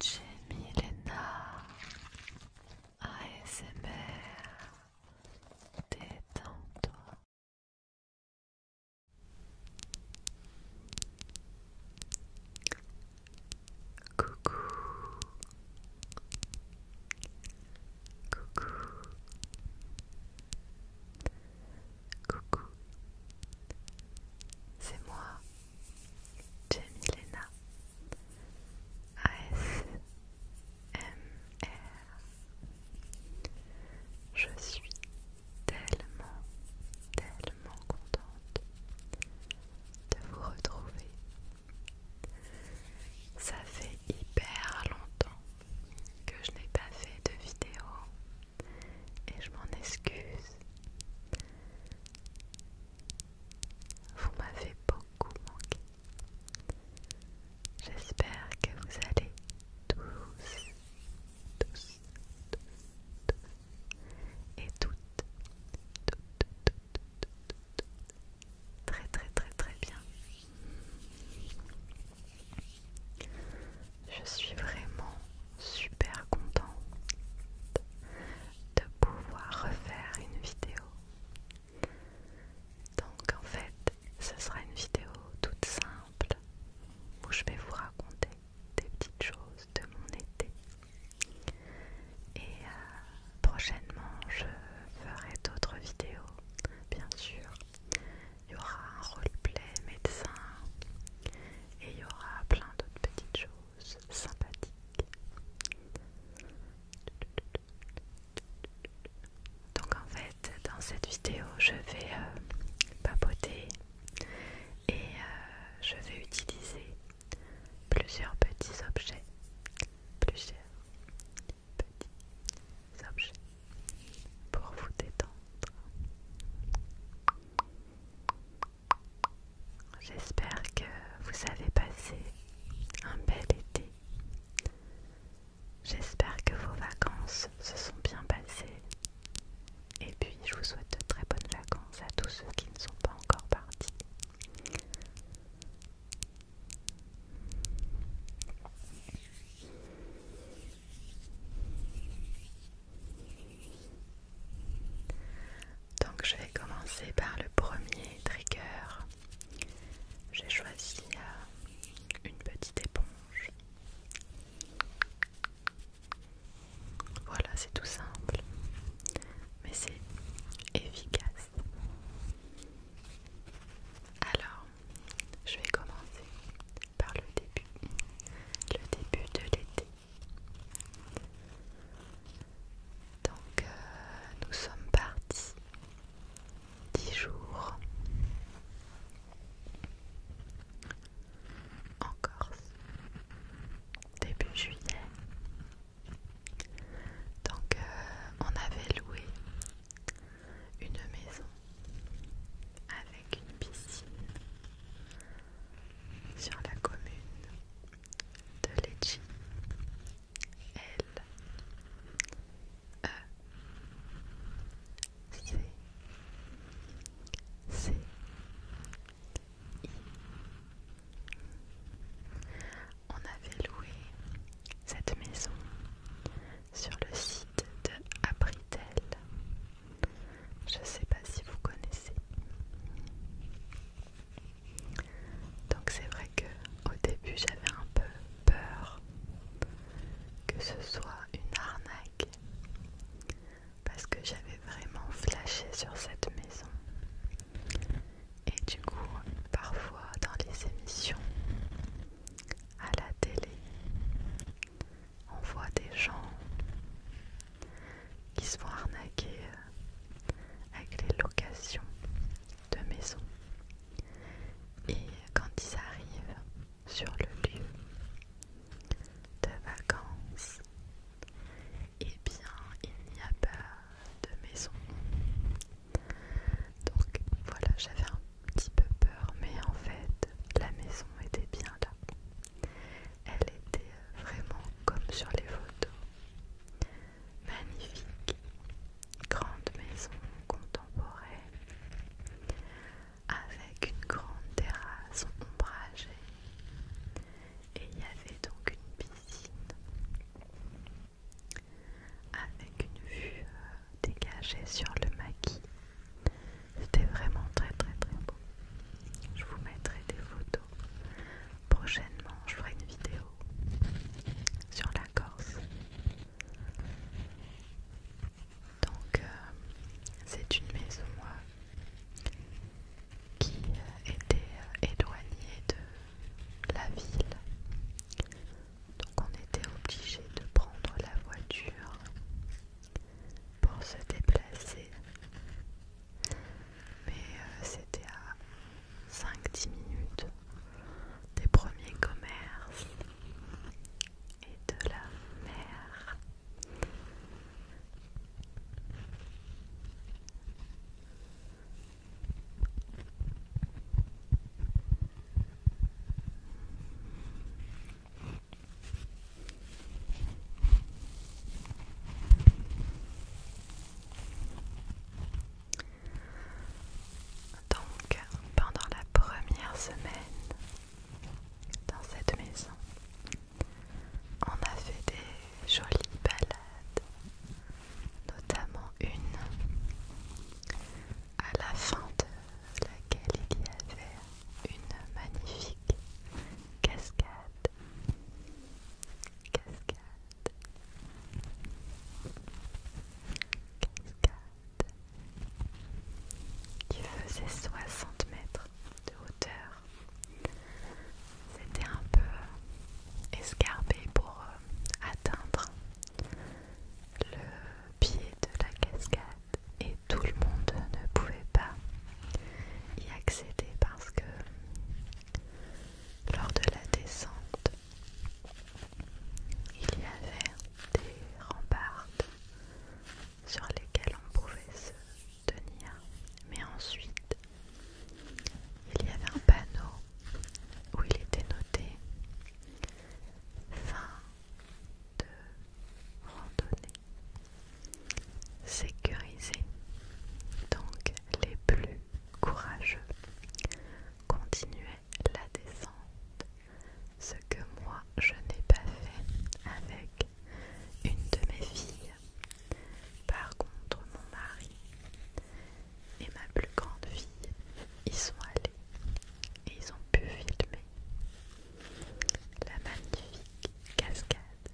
Jamie Lena ASMR Détends-toi Coucou Coucou Coucou C'est moi Jamilena ASMR Je suis tellement, tellement contente de vous retrouver. Ça fait hyper longtemps que je n'ai pas fait de vidéo et je m'en excuse. Vous m'avez beaucoup manqué. J'espère que vous allez tous, tous, tous, tous et toutes, toutes, très très très très bien. Je suis vraiment super contente de pouvoir refaire une vidéo. Donc en fait, ce sera une vidéo toute simple où je vais vous raconter des petites choses de mon été. Et euh, prochainement, je ferai d'autres vidéos, bien sûr. Il y aura un roleplay médecin et il y aura plein d'autres petites choses sympathique. Donc en fait, dans cette vidéo, je vais euh, papoter et euh, je vais utiliser plusieurs petits objets. Plusieurs petits objets pour vous détendre. J'espère que vous avez passé un bel été. J'espère que vos vacances se sont bien passées. Et puis je vous souhaite de très bonnes vacances à tous ceux qui ne sont pas encore partis. Donc je vais commencer par le premier trigger. J'ai choisi euh, une petite éponge. Voilà, c'est tout simple, mais c'est efficace. Alors, je vais commencer par le début, le début de l'été. Donc euh, nous sommes partis dix jours en Corse début juillet. Donc euh, on avait loué une maison avec une piscine sur la commune de L E I On avait loué cette maison sur le site de Abritel. Je sais pas si vous connaissez. Donc c'est vrai que au début j'avais un peu peur que ce soit une arnaque parce que j'avais vraiment flashé sur cette maison. Et du coup, parfois dans les émissions à la télé, on voit des gens qui se font arnaquer euh, avec les locations de maisons. Et quand ils arrivent sur le lieu de vacances, et eh bien il n'y a pas de maison. Donc voilà, j'avais un petit peu peur, mais en fait la maison était bien là. Elle était vraiment comme sur les photos. Magnifique grande maison contemporaine avec une grande terrasse ombragée et il y avait donc une piscine avec une vue euh, dégagée sur le maquis. C'était vraiment très très très beau. Je vous mettrai des photos Prochainement, je ferai une vidéo sur la Corse. Donc, euh, c'est une maison qui euh, était euh, éloignée de la ville. Donc, on était obligé de prendre la voiture pour se déplacer mais euh, c'était à 5-10 minutes des premiers commerces et de la mer. Donc, pendant la première semaine dans cette maison, on a fait des jolies balades, notamment une à la fin de laquelle il y avait une magnifique cascade cascade qui faisait 60 mètres de hauteur. C'était un peu euh, escarpé pour euh, atteindre le pied de la cascade et tout le monde ne pouvait pas y accéder parce que lors de la descente, il y avait des remparts sur lesquels on pouvait se tenir, mais ensuite il y avait un panneau où il était noté fin de randonnée sécurisée les plus courageux continuaient la descente, ce que moi je n'ai pas fait avec une de mes filles. Par contre, mon mari et ma plus grande fille ils sont allés et ils ont pu filmer la magnifique cascade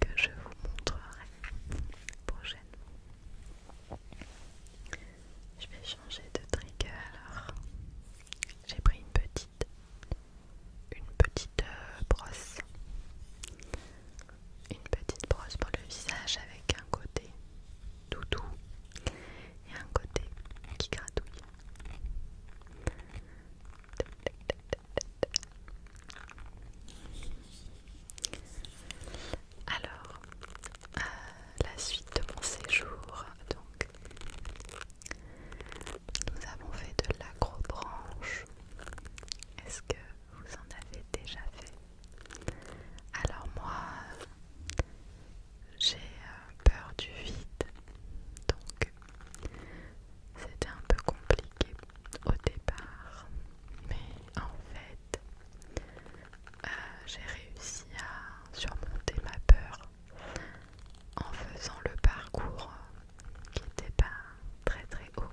que je vous montrerai prochainement. Je vais changer de trigger alors. J'ai pris une petite une petite euh, brosse. Une petite brosse pour le visage avec un côté tout doux et un côté qui gratouille. Alors, euh, la suite de mon séjour, donc nous avons fait de l'agrobranche, Est-ce que vous en avez déjà fait Alors moi, j'ai euh, peur du vide, donc c'était un peu compliqué au départ, mais en fait, euh, j'ai réussi à surmonter ma peur en faisant le parcours qui n'était pas très très haut.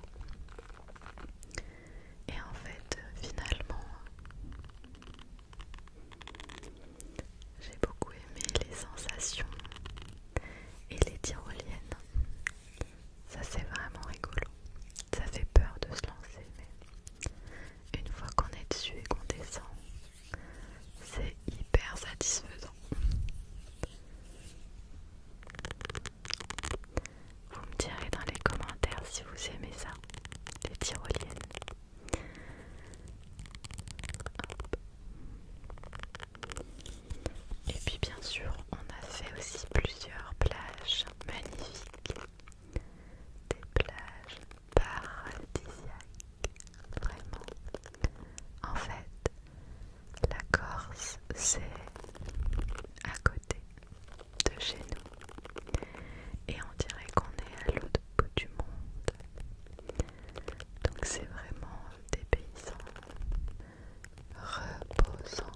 Et en fait, finalement, j'ai beaucoup aimé les sensations et les tyroliennes ça c'est vraiment rigolo. Ça fait peur de se lancer, mais une fois qu'on est dessus et qu'on descend, c'est hyper satisfaisant. Vous me direz dans les commentaires si vous aimez ça, les tyroliennes. Et puis bien sûr, on a fait aussi plusieurs plages magnifique, des plages paradisiaques, vraiment. En fait, la Corse, c'est à côté de chez nous et on dirait qu'on est à l'autre bout du monde. Donc c'est vraiment des paysans reposant.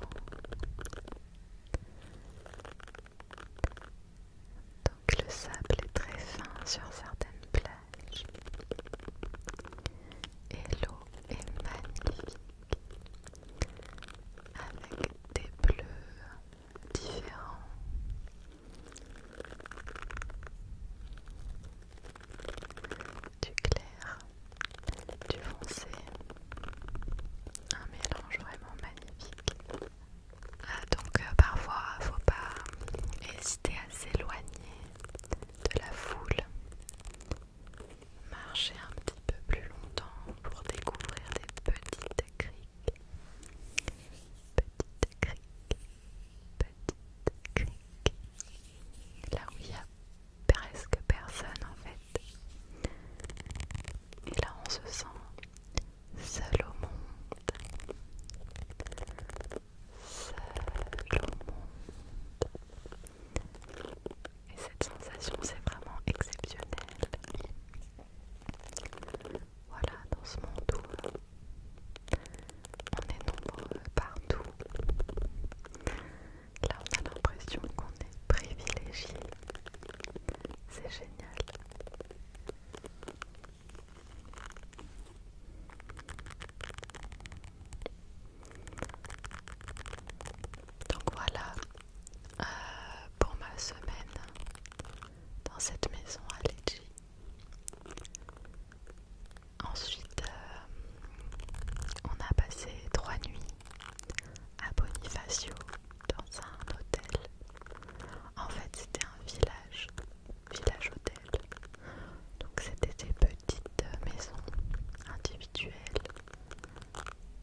Donc le sable est très fin sur certaines plages et l'eau est magnifique avec des bleus différents. Du clair du foncé, un mélange vraiment magnifique. Ah, donc donc il ne faut pas hésiter à s'éloigner de la foule, marcher un petit peu plus longtemps pour découvrir des petites criques, petites criques, petites criques, là où il y a presque personne en fait. Et là on se sent seul au monde. Seul au monde. Et cette sensation c'est vraiment exceptionnel. Voilà, dans ce monde où euh, on est nombreux partout. Là, on a l'impression qu'on est privilégié. C'est génial. Donc voilà euh, pour ma semaine dans cette maison à Lecce. Ensuite, euh, on a passé trois nuits à Bonifacio dans un hôtel. En fait, c'était un village, village-hôtel. Donc, c'était des petites maisons individuelles.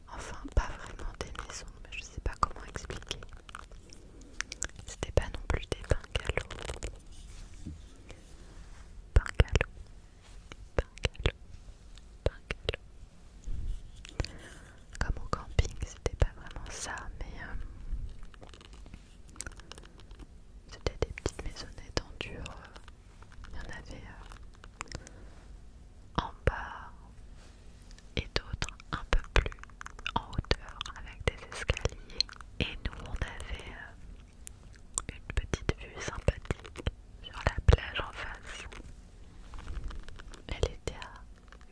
Enfin, pas vraiment des maisons, mais je sais pas comment expliquer. C'était pas non plus des bungalows. Bungalows. Comme au camping, c'était pas vraiment ça, mais euh, c'était des petites maisonnettes en euh. Il y en avait euh, en bas et d'autres un peu plus en hauteur avec des escaliers. Et nous, on avait une petite vue sympathique sur la plage en face. Elle était à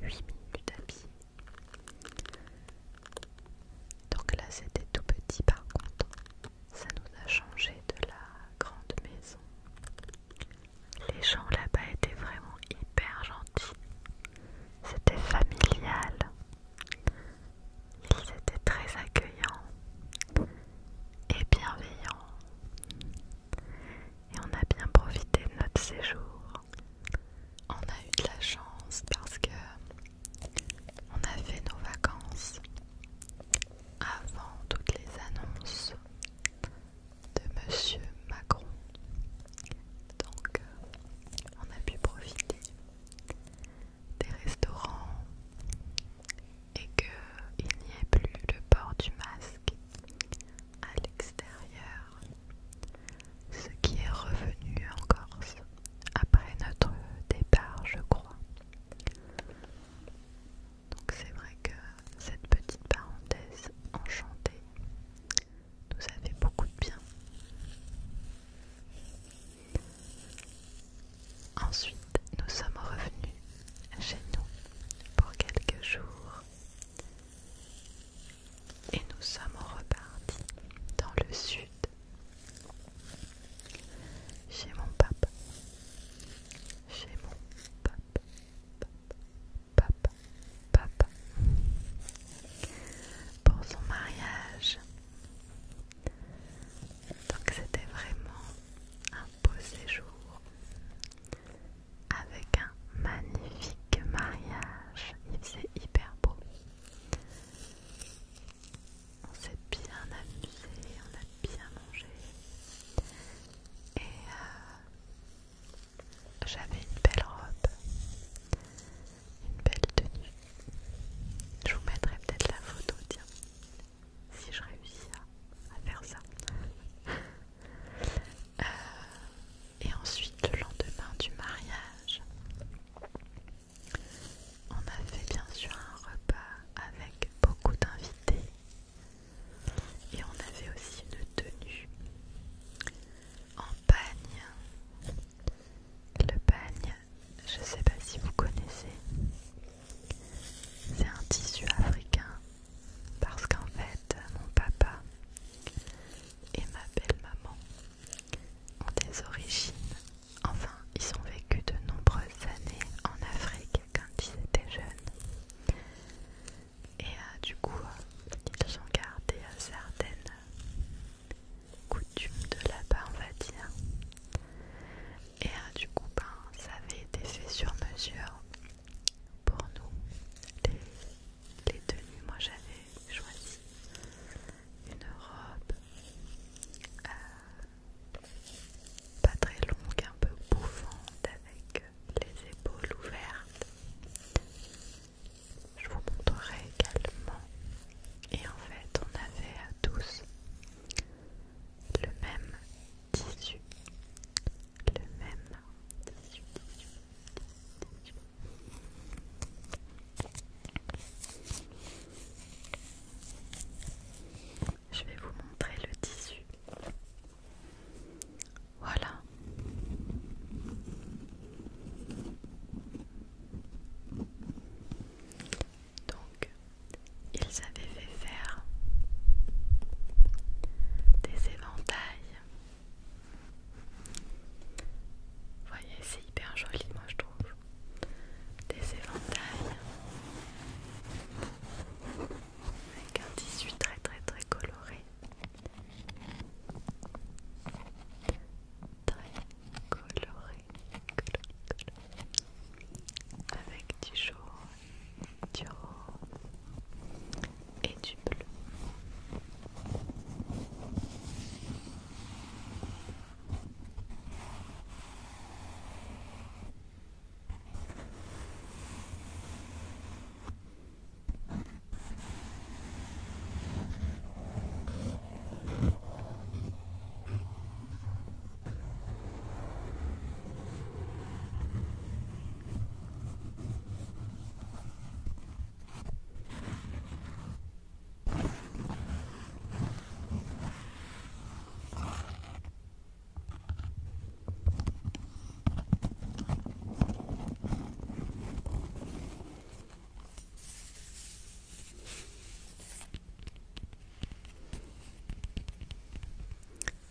8 minutes à Donc là, c'était tout petit par contre. Ça nous a changé de la grande maison. Les gens là-bas étaient vraiment hyper gentils. C'était familial. Ils étaient très accueillants et bienveillants et on a bien profité de notre séjour. On a eu de la chance parce que on a fait nos vacances avant toutes les annonces de Monsieur Macron. Donc euh, on a pu profiter des restaurants et qu'il n'y ait plus le port du masque à l'extérieur, ce qui est revenu en Corse après notre départ, je crois. Donc c'est vrai que cette petite parenthèse enchantée nous a fait beaucoup de bien. Ensuite, nous sommes revenus chez nous pour quelques jours et nous sommes repartis dans le sud chez mon papa, chez mon pape, papa, papa, papa pour son mariage. Donc c'était vraiment un beau séjour avec un magnifique mariage. Il faisait hyper beau. On s'est bien amusé, on a bien mangé. Et euh, j'avais une belle robe, une belle tenue. Je vous mettrai peut-être la photo, tiens si je réussis à, faire ça. Euh, et ensuite, le lendemain du mariage, on avait bien sûr un repas avec beaucoup d'invités et on avait aussi une tenue en bagne Le bagne, je ne sais pas si vous connaissez, c'est un tissu africain parce qu'en fait mon papa et ma belle-maman ont des origines, enfin ils ont vécu de nombreuses années en Afrique quand ils étaient jeunes. Et euh, du coup, ils ont gardé certaines coutumes de là-bas, on va dire. Et euh, du coup, ben, ça avait été fait sur mesure pour nous les, tenues. Moi j'avais choisi une robe euh, pas très longue, un peu bouffante avec les épaules ouvertes. Je vous montrerai également. Et en fait, on avait à tous le même tissu le même. Je vais vous montrer le tissu. Voilà. Donc, ils avaient faire des éventails. voyez, c'est hyper joli, moi je trouve. Des éventails avec un tissu très très très coloré. Très coloré, coloré. avec du chaud du rose et du bleu.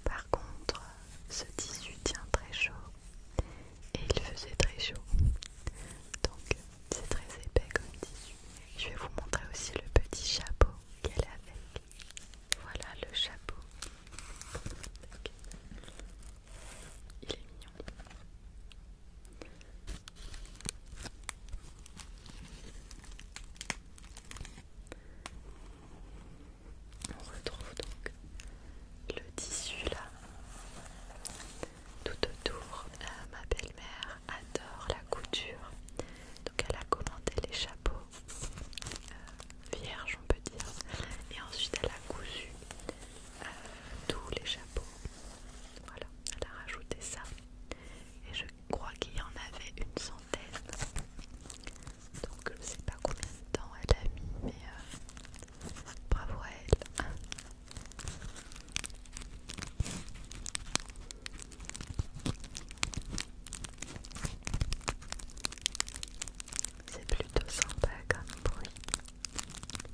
Par contre, ce tissu tient très chaud et il faisait très chaud donc c'est très épais comme tissu je vais vous montrer aussi le petit chapeau qu'elle a avec voilà le chapeau il est mignon on retrouve donc le tissu là. Tout autour, ma belle-mère adore la couture. Donc elle a commandé les chapeaux euh, vierges, on peut dire. Et ensuite elle a cousu euh, tous les chapeaux. Voilà, elle a rajouté ça. Et je crois qu'il y en avait une centaine. Donc je sais pas combien de temps elle a mis, mais euh, bravo à elle. C'est plutôt sympa comme bruit,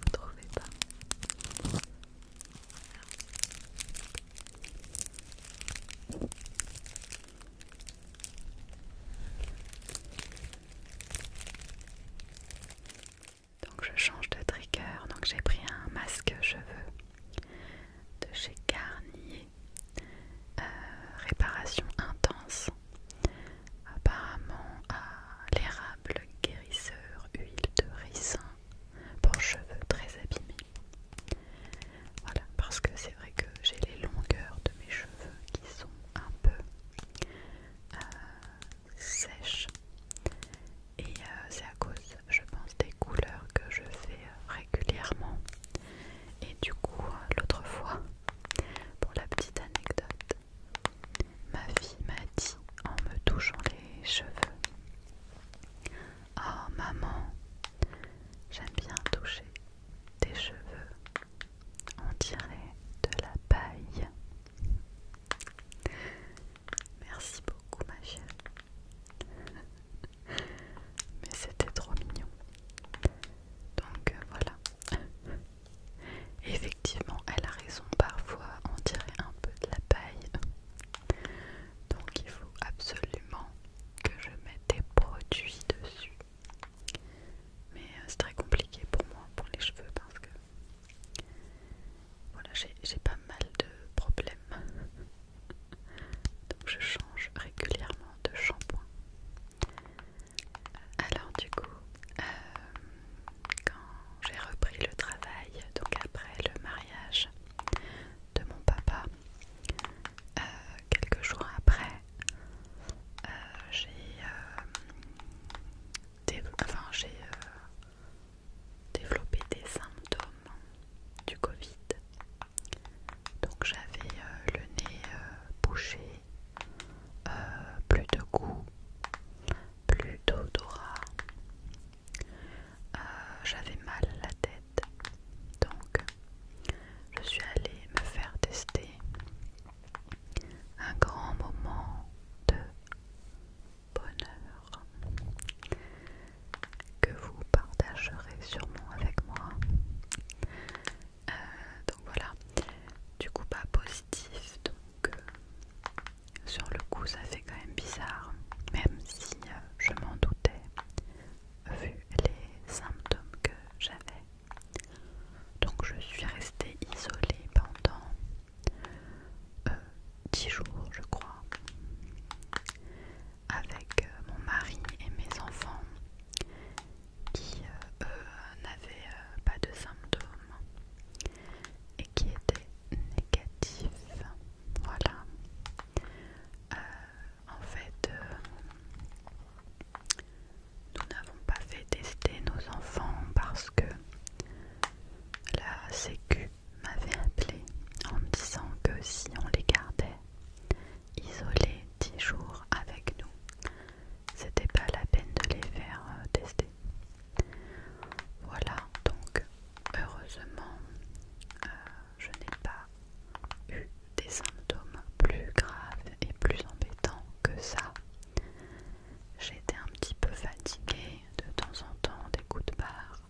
vous trouvez pas donc je change de trigger, donc j'ai pris un masque cheveux de chez Garnier, euh, réparation intense, apparemment à l'érable guérisseur, huile de ricin pour cheveux très abîmés. Voilà, parce que c'est vrai que j'ai les longueurs de mes cheveux qui sont un peu euh, sèche et euh, c'est à cause je pense des couleurs que je fais euh, régulièrement et du coup l'autre fois pour la petite anecdote ma fille m'a dit en me touchant les cheveux Oh maman, j'aime bien toucher des cheveux, on dirait de la paille. Merci beaucoup ma chère. Mais c'était trop mignon. Donc euh, voilà. Effectivement, elle a raison, parfois on dirait un peu de la paille. Donc il faut absolument que je mette des produits dessus. Mais euh, c'est très compliqué pour moi, pour les cheveux, parce que voilà, j'ai pas mal de problèmes. Donc je change régulièrement de shampoing. Alors du coup, euh, quand j'ai repris le travail, donc après le mariage de mon papa, euh, quelques jours après, euh, j'ai euh, euh, développé des symptômes du Covid. Donc j'avais le nez bouché, plus de goût, plus d'odorat. j'avais mal la tête. Donc je suis allée me faire tester un grand moment de bonheur que vous partagerez sûrement avec moi. Euh, donc voilà, du coup pas positif, donc euh, sur le coup ça fait quand même bizarre, même si euh, je m'en doutais vu les symptômes que j'avais. Donc je suis restée isolée pendant euh, dix 10 jours je crois avec euh, mon mari et mes enfants qui euh, n'avaient pas de symptômes et qui étaient négatifs. Voilà. en fait, nous n'avons pas fait tester nos enfants parce que la sécu m'avait appelé en me disant que si on les gardait isolés 10 jours avec nous, c'était pas la peine de les faire euh, tester. Voilà, donc heureusement, euh, je n'ai pas eu des symptômes plus graves et plus embêtants que ça. J'étais un petit peu fatiguée de temps en temps, des coups de barre.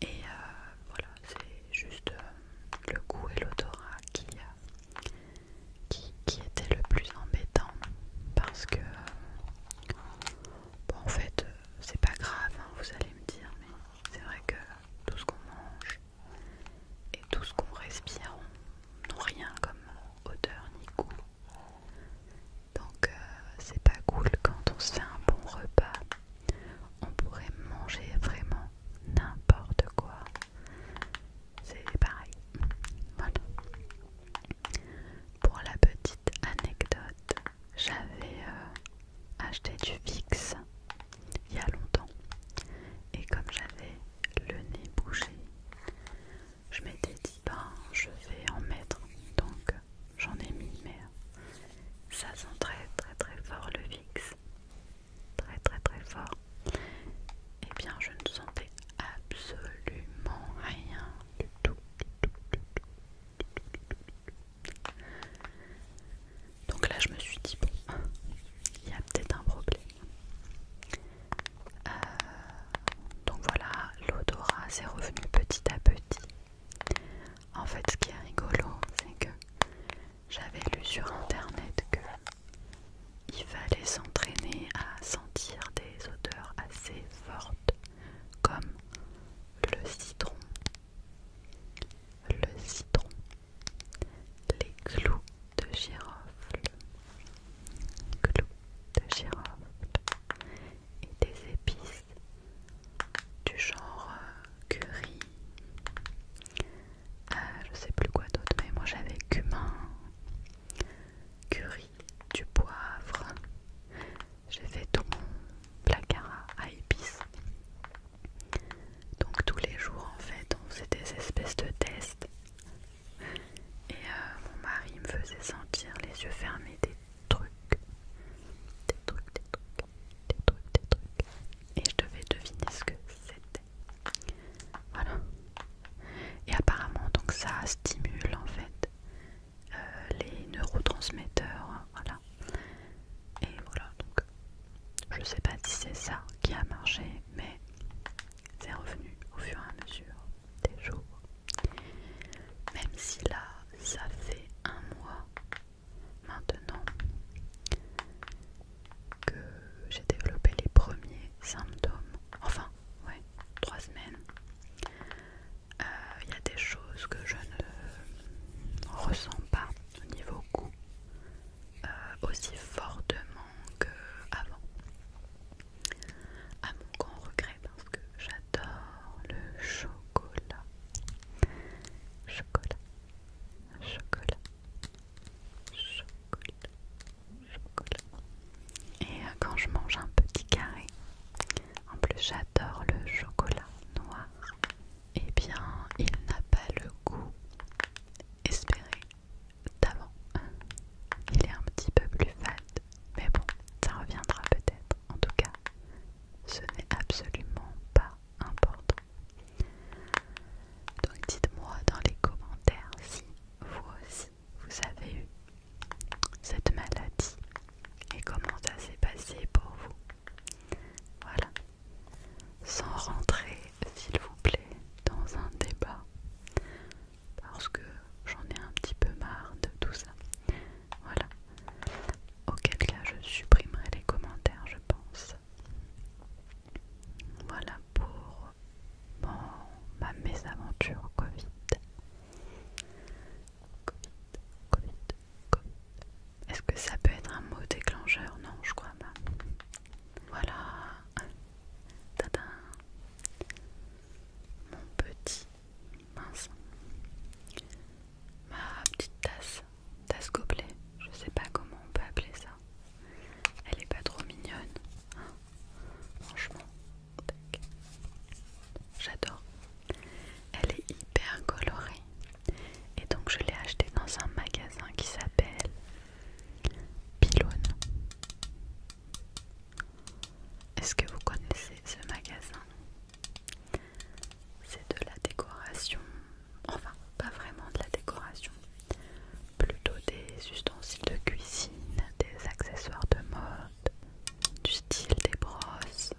Et euh, voilà, c'est juste euh, le goût et l'odorat euh, qui, qui, était le plus embêtant. Parce que, en fait, c'est pas grave, hein, vous allez me dire, mais c'est vrai que tout ce qu'on mange, et tout ce qu'on respire n'ont rien comme odeur ni goût. Donc euh, c'est pas cool quand on se fait un bon repas. On pourrait manger vraiment n'importe quoi. C'est pareil. Voilà. Pour la petite anecdote, j'avais euh, acheté du fixe il y a longtemps. Et comme j'avais le nez bouché, je m'étais dit ben je vais en mettre. Donc j'en ai mis mais euh, ça sent très très très fort le fixe, Très très très fort. Et eh bien je ne sentais absolument rien du tout. Donc là je me suis dit bon, il y a peut-être un problème. Euh, donc voilà, l'odorat s'est revenu petit à petit. En fait, ce qui est rigolo, c'est que j'avais lu sur internet que il fallait s'entraîner à sentir des odeurs assez fortes, comme le citron, le citron, les clous de girofle, clou de girofle et des épices du genre euh, curry. Euh, je sais plus quoi d'autre, mais moi j'avais cumin, curry, du poivre. J'ai fait tout mon placard à épices. Donc tous les jours en fait on faisait des espèces de tests et euh, mon mari me faisait sentir les yeux fermés des trucs. Des trucs, des trucs, des trucs, des trucs. Et je devais deviner ce que c'était. Voilà. Et apparemment, donc ça stimule en fait euh, les neurotransmetteurs. Hein, voilà. Et voilà, donc je sais pas si c'est ça qui a marché, mais c'est revenu au fur et à mesure des jours. Même si là, ça fait un mois maintenant que j'ai développé les premiers symptômes. Enfin, ouais, trois semaines. Euh, il y a des choses que je ne ressens pas au niveau goût. Euh, aussi fortement qu'avant. À mon grand regret parce que j'adore le chocolat. Chocolat. Chocolat. Chocolat. Chocolat. Et euh, quand je mange un petit carré, en plus j'adore le chocolat noir, et eh bien il n'a pas le goût espéré d'avant. Il est un petit peu plus fade, mais bon, ça reviendra peut-être. En tout cas, ce n'est absolument pas important. Donc dites-moi dans les commentaires si vous aussi vous avez eu cette maladie et comment ça s'est passé pour vous. Voilà. Sans rentrer s'il vous plaît dans un débat parce que j'en ai un petit peu marre de tout ça. Voilà. Auquel cas je supprimerai les commentaires je pense. Voilà pour ma mésaventure Covid. Covid, Covid, Covid. Est-ce que ça peut être un mot déclencheur Non, je crois pas. Voilà. Tada. Mon petit mince. Ma petite tasse. Tasse gobelet. Je sais pas comment on peut appeler ça. Elle est pas trop mignonne. Franchement. J'adore. Elle est hyper colorée. Et donc je l'ai achetée dans un magasin qui s'appelle Pylone. Est-ce que vous connaissez ce magasin C'est de la décoration, enfin pas vraiment de la décoration, plutôt des ustensiles de cuisine, des accessoires de mode, du style des brosses,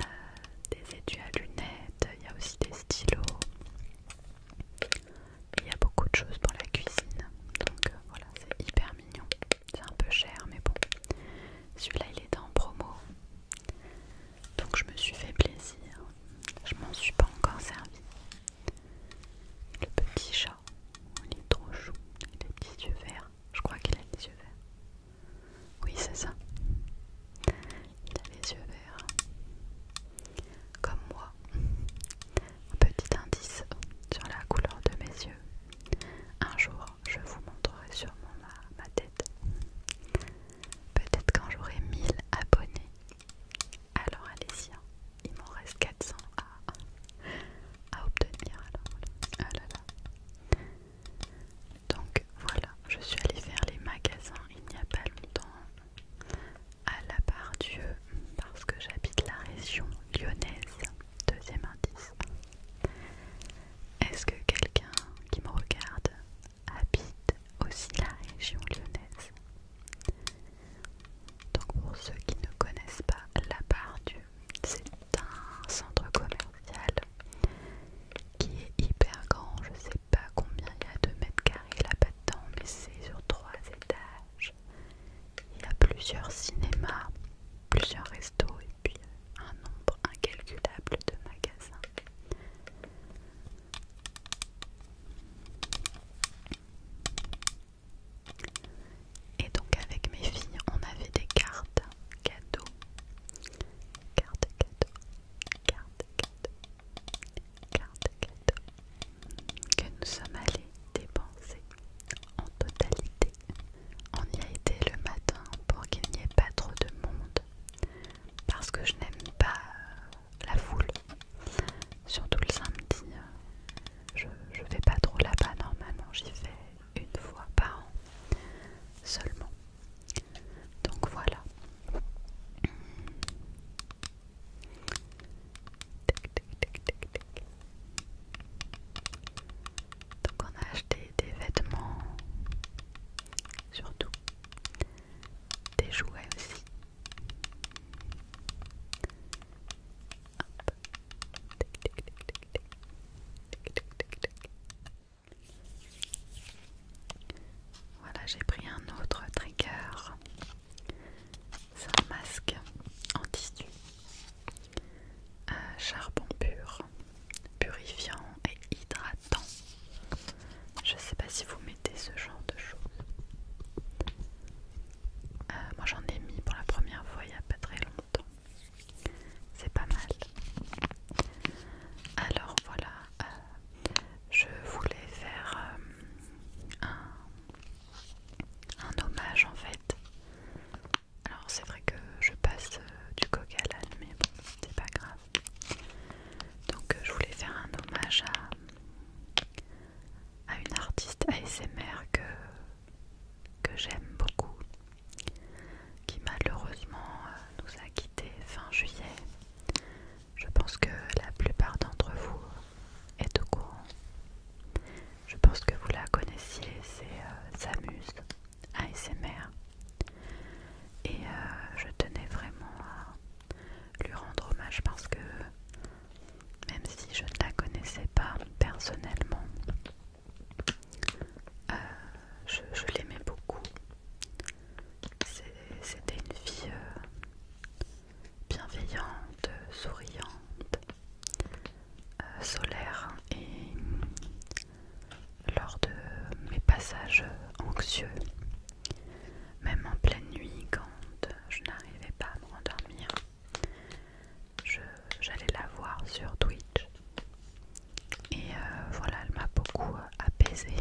euh, des étuis à lunettes, il y a aussi des stylos. Il y a beaucoup de choses pour la cuisine. Donc euh, voilà, c'est hyper mignon. C'est un peu cher, mais bon. Celui-là, il est en promo. Donc je me suis fait plaisir. Je m'en suis pas encore servi. Le petit chat, il est trop chou. Il a petits yeux verts. Je crois qu'il a les yeux verts. Oui, c'est ça. Il a les yeux verts. Comme moi. Un petit indice sur la couleur de mes yeux. Un jour, je vous montrerai sûrement ma, tête. Peut-être quand j'aurai 1000 abonnés. Alors allez-y, hein. il m'en reste 400 à, à obtenir. Ah Donc voilà, je suis allée faire les magasins il n'y a pas longtemps à la part Dieu parce que j'habite la région lyonnaise. Deuxième indice. Est-ce que quelqu'un qui me regarde habite aussi la région lyonnaise Donc pour ceux qui ne connaissent pas la part Dieu, c'est un centre commercial qui est hyper grand, je sais pas combien il y a de mètres carrés là-bas dedans, mais c'est sur trois étages. Il y a plusieurs cinémas, plusieurs restos et puis un nombre incalculable de magasins. Et donc avec mes filles, on avait des cartes cadeaux. Cartes cadeaux. Cartes cadeaux que nous sommes allés dépenser en totalité. On y a été le matin pour qu'il n'y ait pas trop de monde parce que je n'aime pas la foule. Surtout le samedi, je ne vais pas trop là-bas normalement, j'y vais une fois par an seulement. Donc voilà. Donc on a acheté des vêtements, surtout des jouets aussi. Voilà, j'ai pris un autre trigger c'est un masque en tissu euh, charbon pur, purifiant et hydratant. Je sais pas si vous mettez ce genre de choses. Euh, moi j'en ai mis pour la première fois il n'y a pas très longtemps. C'est pas mal. Alors voilà, euh, je voulais faire un un hommage en fait. Alors c'est vrai que je passe euh, du coq à mais bon, c'est pas grave. Donc euh, je voulais faire un hommage à, une artiste ASMR que, que j'aime beaucoup, qui malheureusement euh, nous a quittés fin juillet. Je pense que la plupart d'entre vous est au courant. Je pense que vous la connaissiez, c'est euh, Samus ASMR. Et euh, je tenais vraiment à lui rendre hommage parce que même si je ne la connaissais pas personnellement, euh, je, l'aimais beaucoup. C'était une fille bienveillante, souriante, euh, solaire et lors de mes passages anxieux, même en pleine nuit quand je n'arrivais pas à me rendormir, j'allais la voir sur Twitch et euh, voilà, elle m'a beaucoup apaisée.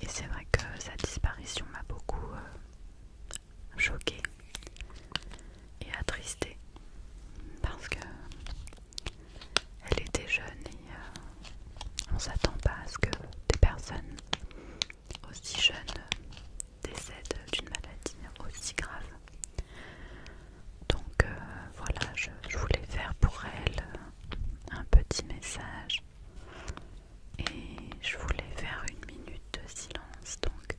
Et c'est vrai que sa disparition m'a beaucoup euh, choquée et attristée parce que elle était jeune et on euh, on s'attend pas à ce que des personnes aussi jeunes décèdent d'une maladie aussi grave. Donc euh, voilà, je voulais faire pour elle un petit message et je voulais faire une minute de silence donc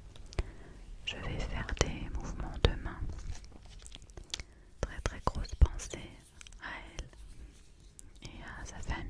je vais faire des mouvements de main très très grosse pensée à elle et à sa famille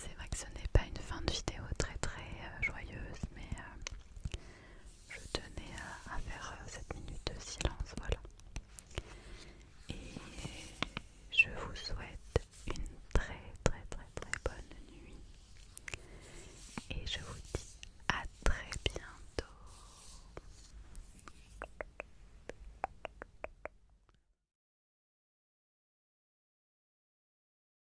C'est vrai que ce n'est pas une fin de vidéo très très euh, joyeuse, mais je tenais à, faire euh, cette minute de silence, voilà. Et je vous souhaite une très très très très bonne nuit. Et je vous dis à très bientôt.